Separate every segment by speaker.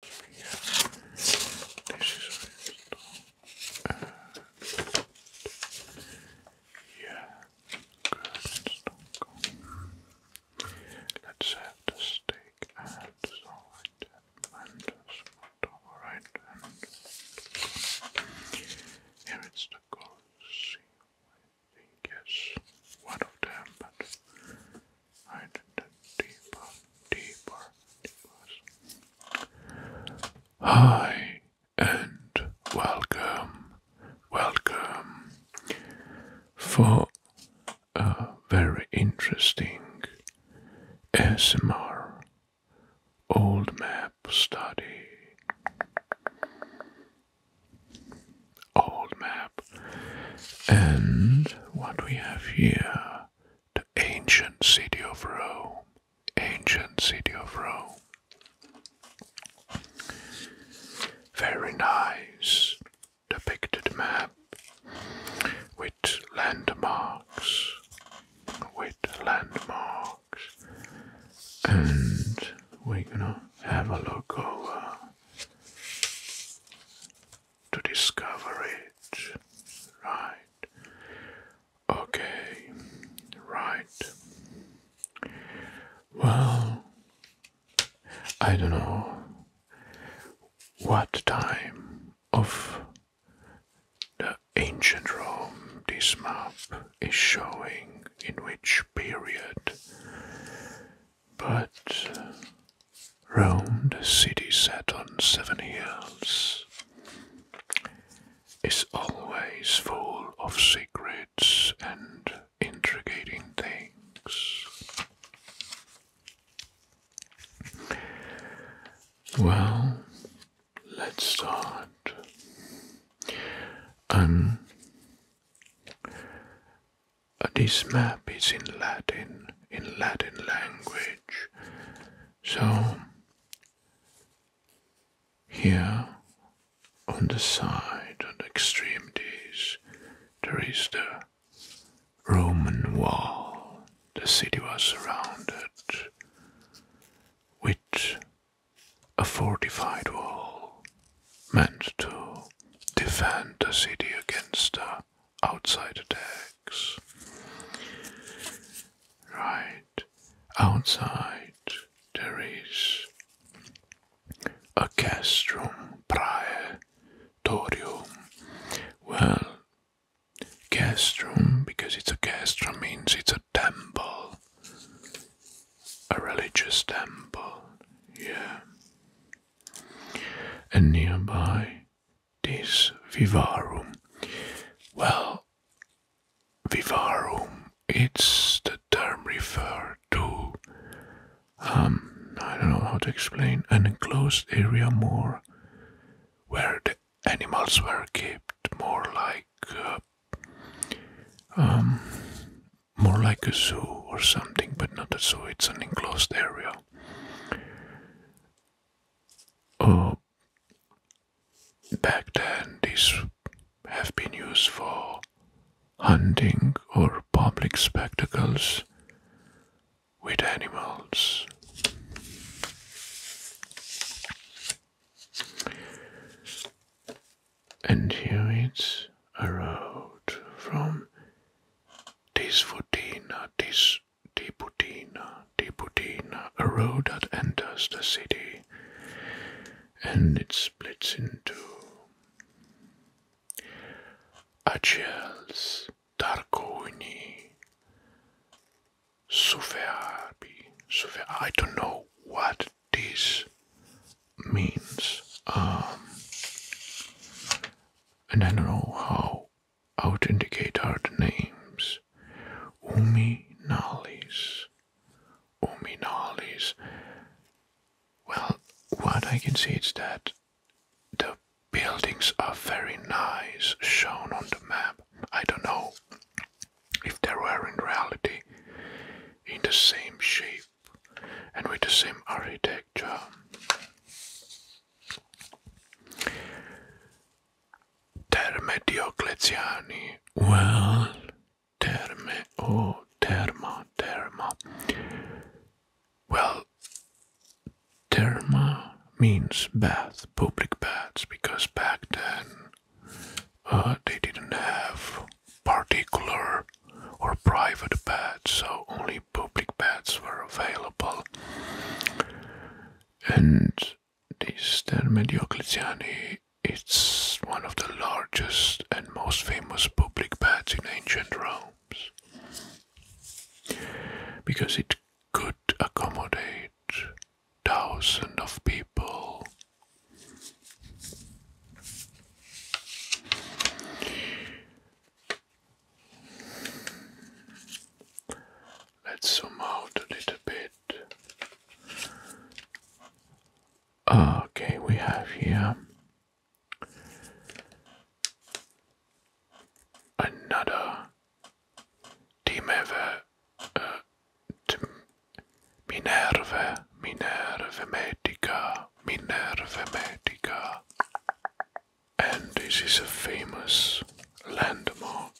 Speaker 1: This is install. Yeah, good install. Let's have the steak and the right and the spot right and here it's the gold. I think yes, one of them, but right deeper, deeper, deeper. Hi and welcome, welcome for a very interesting S.M.R. old map study. Old map and what we have here the ancient city of Rome. Ancient city of Rome. Very nice depicted map with landmarks, with landmarks, and we're gonna have a look over to discover it. Right. Okay. Right. Well, I don't know what time of the ancient Rome this map is showing, in which period. But round a city set on seven hills is always full of secrets and intriguing things. Well, let's start. i um, this map is in Latin, in Latin language. So, here on the side, on the extremities, there is the Roman wall. The city was surrounded with a fortified wall meant to defend the city against the outside attacks. Right outside, there is a castrum praetorium. Well, castrum, because it's a castrum, means it's a temple, a religious temple. Yeah, and nearby this vivarium. Well, vivarium it's the term referred to, um, I don't know how to explain, an enclosed area more where the animals were kept, more like um, more like a zoo or something, but not a zoo. It's an enclosed area. Oh, back then, these have been used for hunting or public spectacles with animals. And here it's a road from this Tisvutina, Tis Tiputina, Tiputina, a road that enters the city and it splits into Achels, Tarconi, Suferbi, Sufer I don't know what this means. Um, and I don't know how I would indicate our names. Umi Umi Uminalis. Well, what I can see is that the buildings are very nice shown on the map. I don't know if they were in reality in the same shape and with the same architecture. Terme Diocleziani. Well, terme, oh, terma, terma. Well, therma means bath, public baths, because back then uh, they didn't have particular or private baths, so only public baths were available. And this Ter Mediocletiani it's one of the largest and most famous public baths in ancient Rome, because it could accommodate thousands of people. Let's zoom out a little bit. Okay, we have here another Minerve, uh, Minerve, Minerve Minerva Metica. And this is a famous landmark.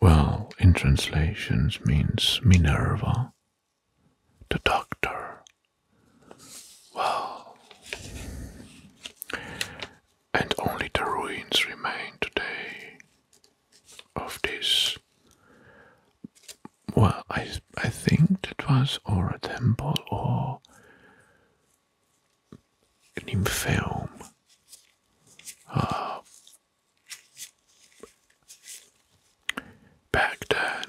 Speaker 1: Well, in translations means Minerva, the doctor. Well, and only the ruins remain today of this well, I, I think it was or a temple or an in film. Uh, back then,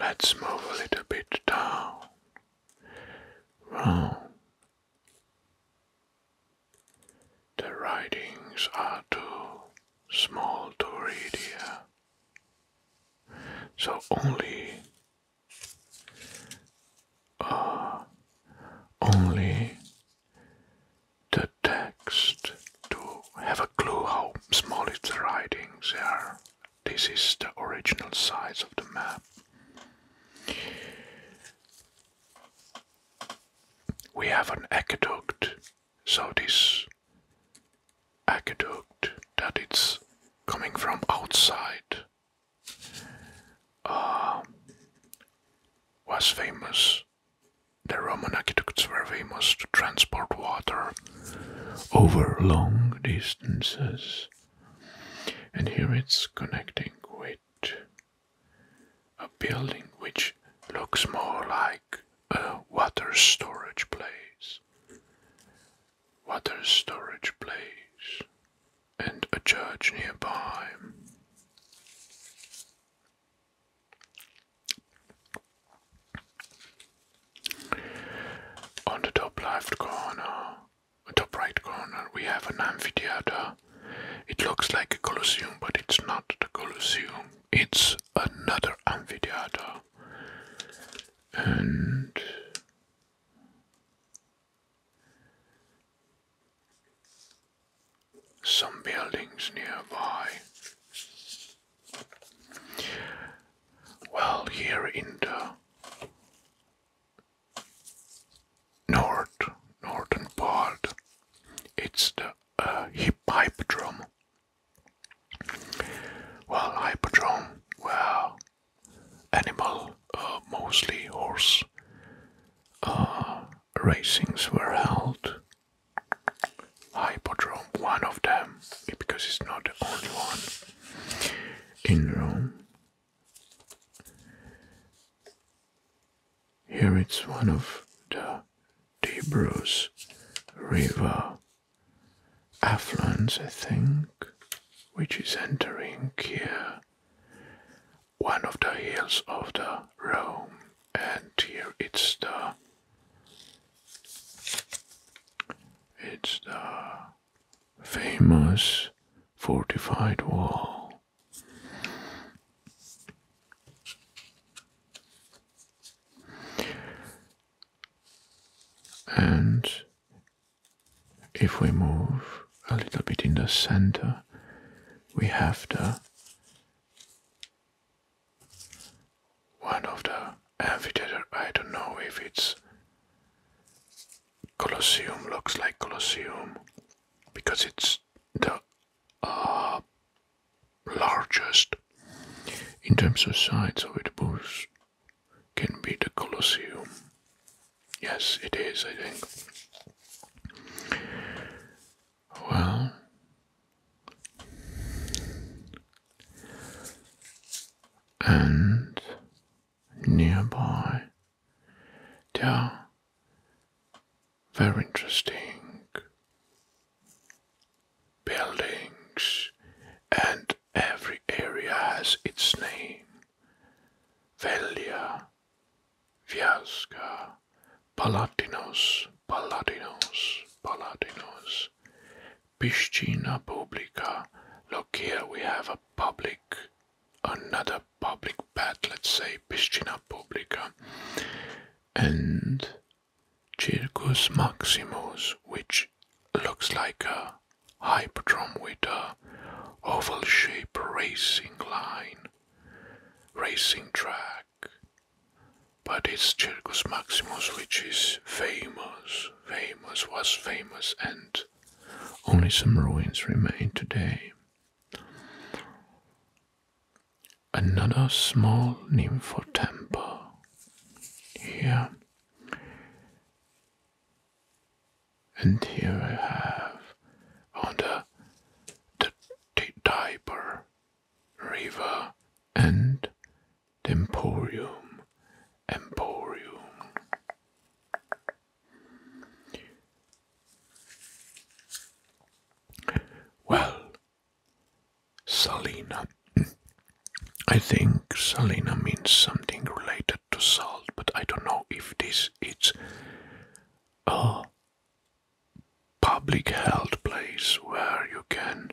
Speaker 1: let's move a little bit down. Wow. The writings are too small to read here, So only uh, only the text to have a clue how small its writings are. This is the original size of the map. We have an aqueduct so this aqueduct that it's coming from outside um, was famous. The Roman aqueducts were famous to transport water over long distances. And here it's connecting with a building which looks more like a water storage place. Water storage place and a church nearby. On the top left corner, top right corner, we have an amphitheater. It looks like a Colosseum, but it's not the Colosseum it's another amphitheater and some buildings nearby. Well, here in the north, northern part, it's the a uh, hip hypodrome. Well, hypodrome, well, animal, uh, mostly horse uh, racings were held. Hypodrome, one of them, because it's not the only one in Rome. Here it's one of the Debrus River affluence, I think, which is entering here one of the hills of the Rome, and here it's the it's the famous fortified wall and if we move a little bit in the center, we have the one of the amphitheater. I don't know if it's Colosseum, looks like Colosseum because it's the uh, largest in terms of size of it was can be the Colosseum. Yes, it is, I think. Well, and nearby there very interesting buildings, and every area has its name. Velia, Viasca, Palatinos, Palatinos, Palatinos, Piscina Publica. Look here, we have a public, another public bath, let's say piscina publica, and Circus Maximus, which looks like a hyperdrome with a oval shape racing line, racing track. But it's Circus Maximus which is famous, famous, was famous, and only some ruins remain today another small nympho temple here. And here I have on the, the, the Tiber River and the Emporium. Emporium. Well, Salina. I think Salina means something related to salt, but I don't know if this it's a public health place where you can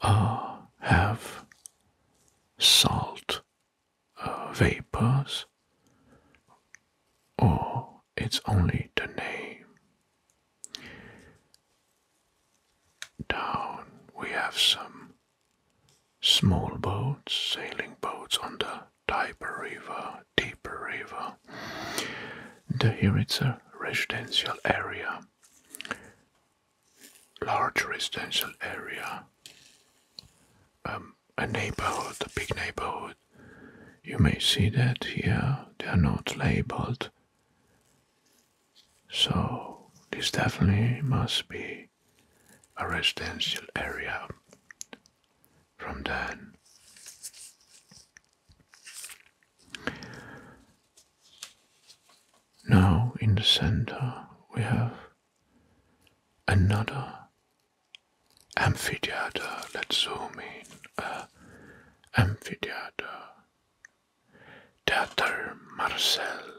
Speaker 1: uh, have salt uh, vapors or it's only the name. Down we have some small boats, sailing boats on the Tiber River, Deeper River. The, here it's a residential area, large residential area. Um, a neighborhood, a big neighborhood. You may see that here, they are not labeled. So, this definitely must be a residential area from then. Now, in the center, we have another amphitheater. Let's zoom in. Uh, amphitheater. Theater Marcel.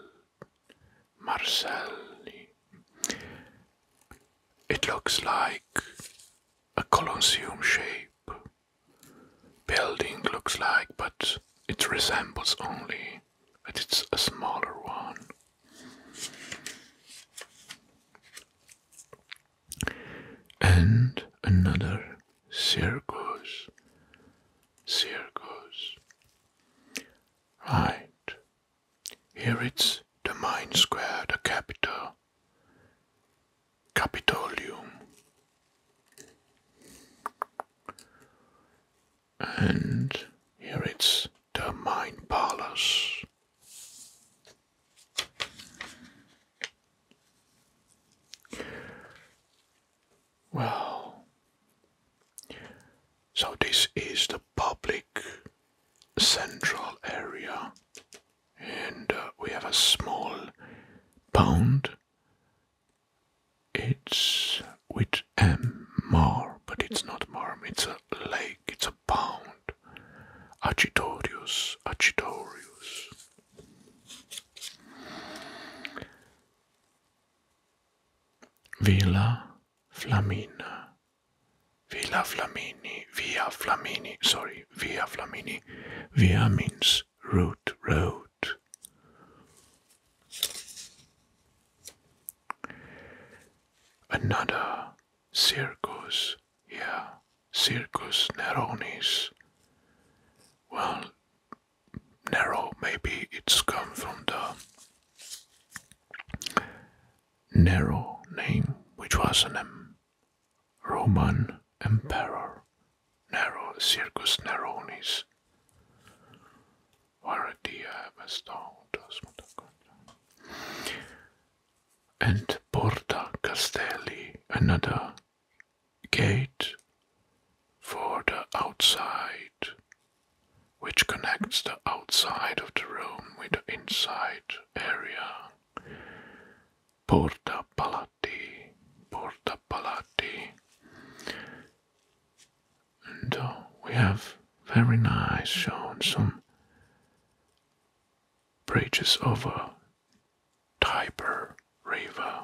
Speaker 1: Marcel. It looks like a colosseum shape. Building looks like, but it resembles only, but it's a smaller one and another circus, circus. Right, here it's the main square, the Capitol, Capitolium, and here it's the main palace, well, so this is the public central area, and uh, we have a small pond. It's with M Mar, but it's not mar. it's a lake, it's a a pound. Agitorius, agitorius. Villa Flamina, Villa Flamini, Via Flamini, sorry, Via Flamini. Via means route, road. Another Circus, yeah, Circus Neronis. Well, Nero, maybe it's come from the Nero name, which was a Roman emperor. Nero, Circus Neronis. Var det även stad och sånt and Porta Castelli, another gate for the outside, which connects the outside of the room with the inside area. Porta Palati, Porta Palati. And uh, we have very nice shown on bridges over Tiber River.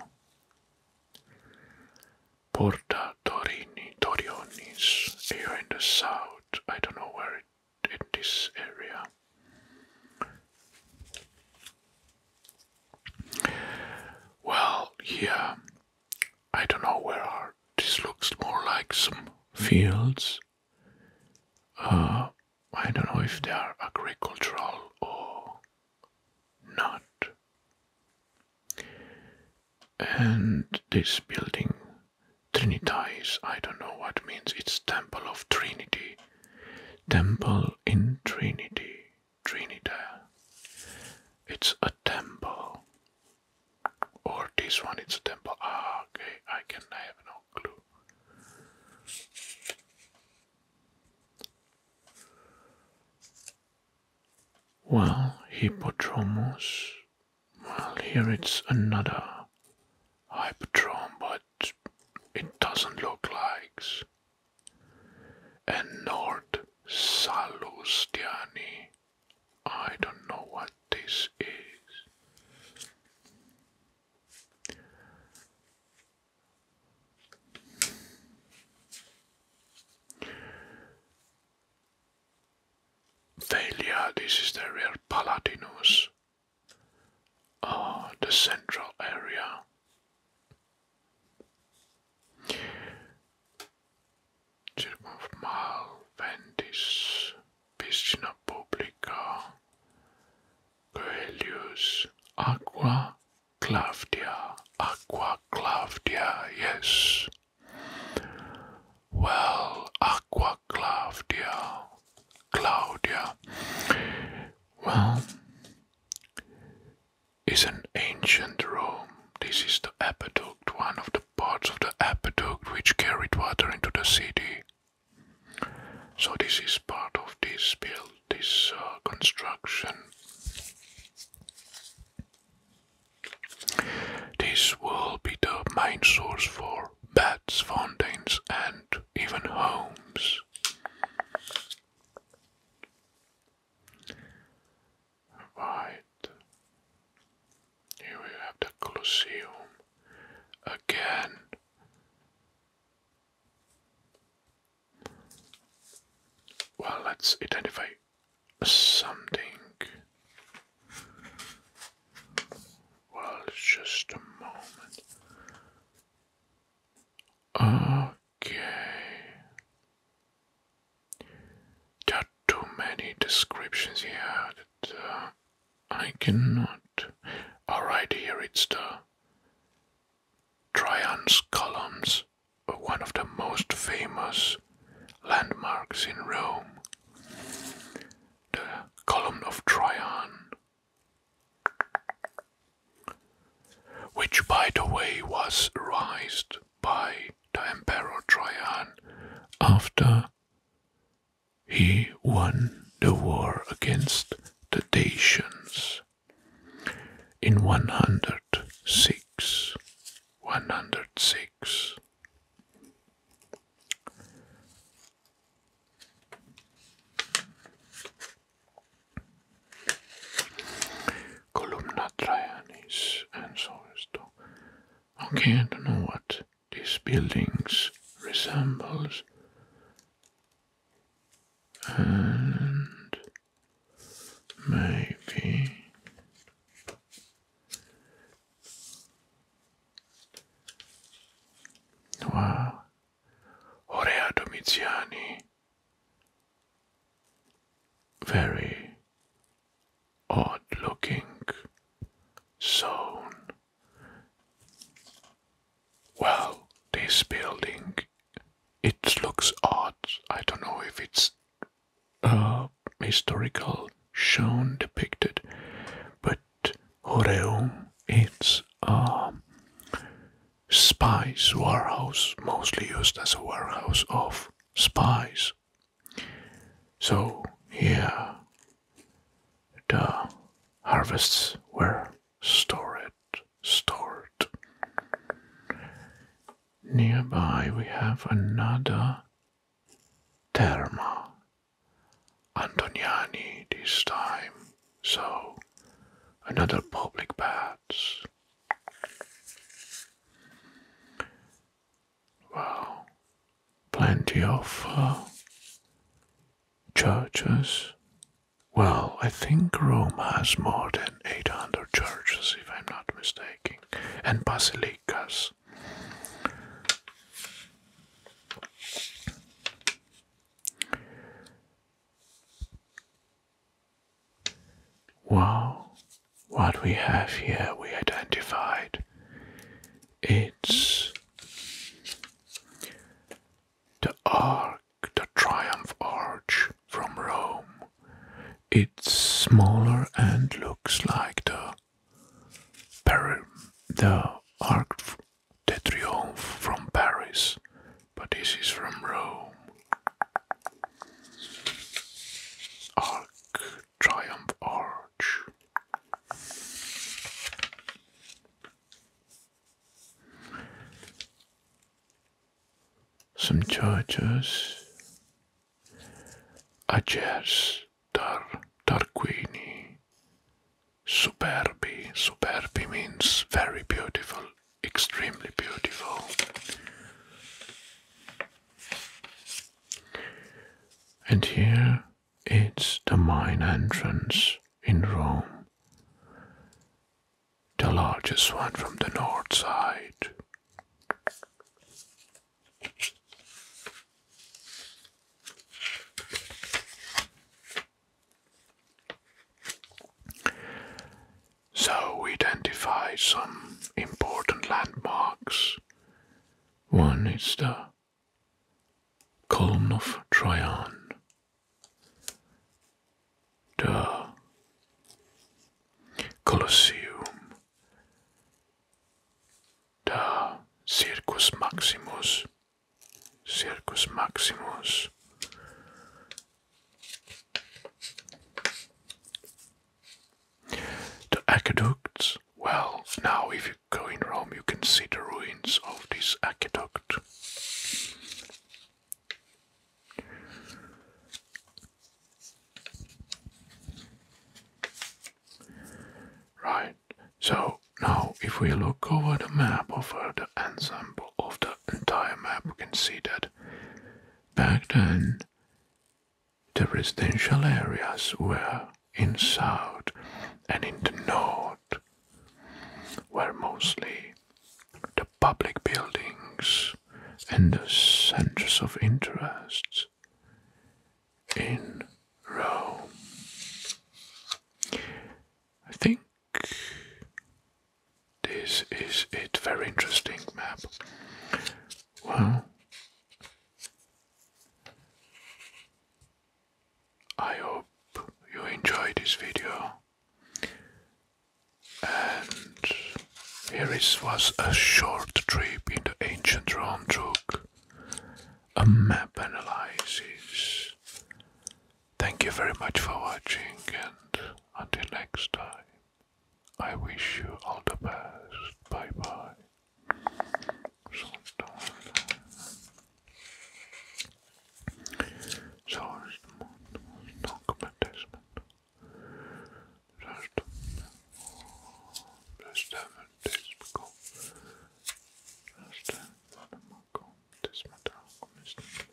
Speaker 1: Porta Torini, Torionis, here in the south. I don't know where it in this area. Well, yeah, I don't know where This looks more like some fields. Uh, I don't know if they are agricultural or not. And this building, Trinitas, I don't know what means. It's Temple of Trinity. Temple in Trinity. Trinidad. It's a temple. Or this one, it's a temple. Ah, okay, I can I have no clue. Well, Hippodromus. Well, here it's another Hypodrome, but it doesn't look like. And Nord Salustiani. I don't know what this is. Thalia, this is the real Palatinus. Oh, the central area. Circum piscina pubblica, Coelius, Aqua Claudia, Aqua Claudia, yes. Well, Aqua Claudia, Claudia. Well, is an ancient Rome. This is the aqueduct, one of the parts of the aqueduct which carried water into the city. So this is part of this build, this uh, construction. This will be the main source for baths, fountains, and even homes. Right. Here we have the Colosseum again. Well, let's identify something. Well, just a moment. Okay. too many descriptions here that uh, I cannot. Alright, here it's the Trajan's columns, one of the most famous landmarks in Rome. The column of Trajan, which by the way was raised by the Emperor Trajan after he won the war against the Dacians in 106. 106. Columna Traianis and so is Okay, I don't know what these buildings resembles. And maybe Wow Orea Domiziani very odd looking zone. Well, this building, it looks odd. I don't know if it's uh, historical shown depicted, but Horeum, it's a um, spice warehouse, mostly used as a warehouse of spies so here the harvests were stored. Stored. Nearby we have another Therma. Antoniani this time. So another public baths. Well, plenty of uh, churches. Well, I think Rome has more than 800 churches, if I'm not mistaken, and basilicas. Wow, what we have here we identified. It's the arc, the triumph arch from Rome. It's smaller and looks like the the Arc de Triomphe from Paris, but this is from Rome. Arc Triumph Arch. Some churches. a Agers, Tar, Tarquini, Superbi. Superbi means very beautiful, extremely beautiful. And here it's the main entrance in Rome, the largest one from the north side. So we identify some important landmarks one is the column of Trajan, the Colosseum, the Circus Maximus, Circus Maximus. The aqueducts, well, now if you go in Rome, you can see the ruins of this aqueduct. Right, so now if we look over the map of uh, the ensemble of the entire map, we can see that back then the residential areas were in south and in the north, were mostly the public buildings and the centers of interest in Rome. I think this is it. Very interesting map. Well, I hope you enjoyed this video. And here is was a short trip in the ancient Rome took a map analysis. Thank you very much for watching and until next time. I wish you all the best. Bye bye. So no commentation. Just just have this go. Just have one go. This matter.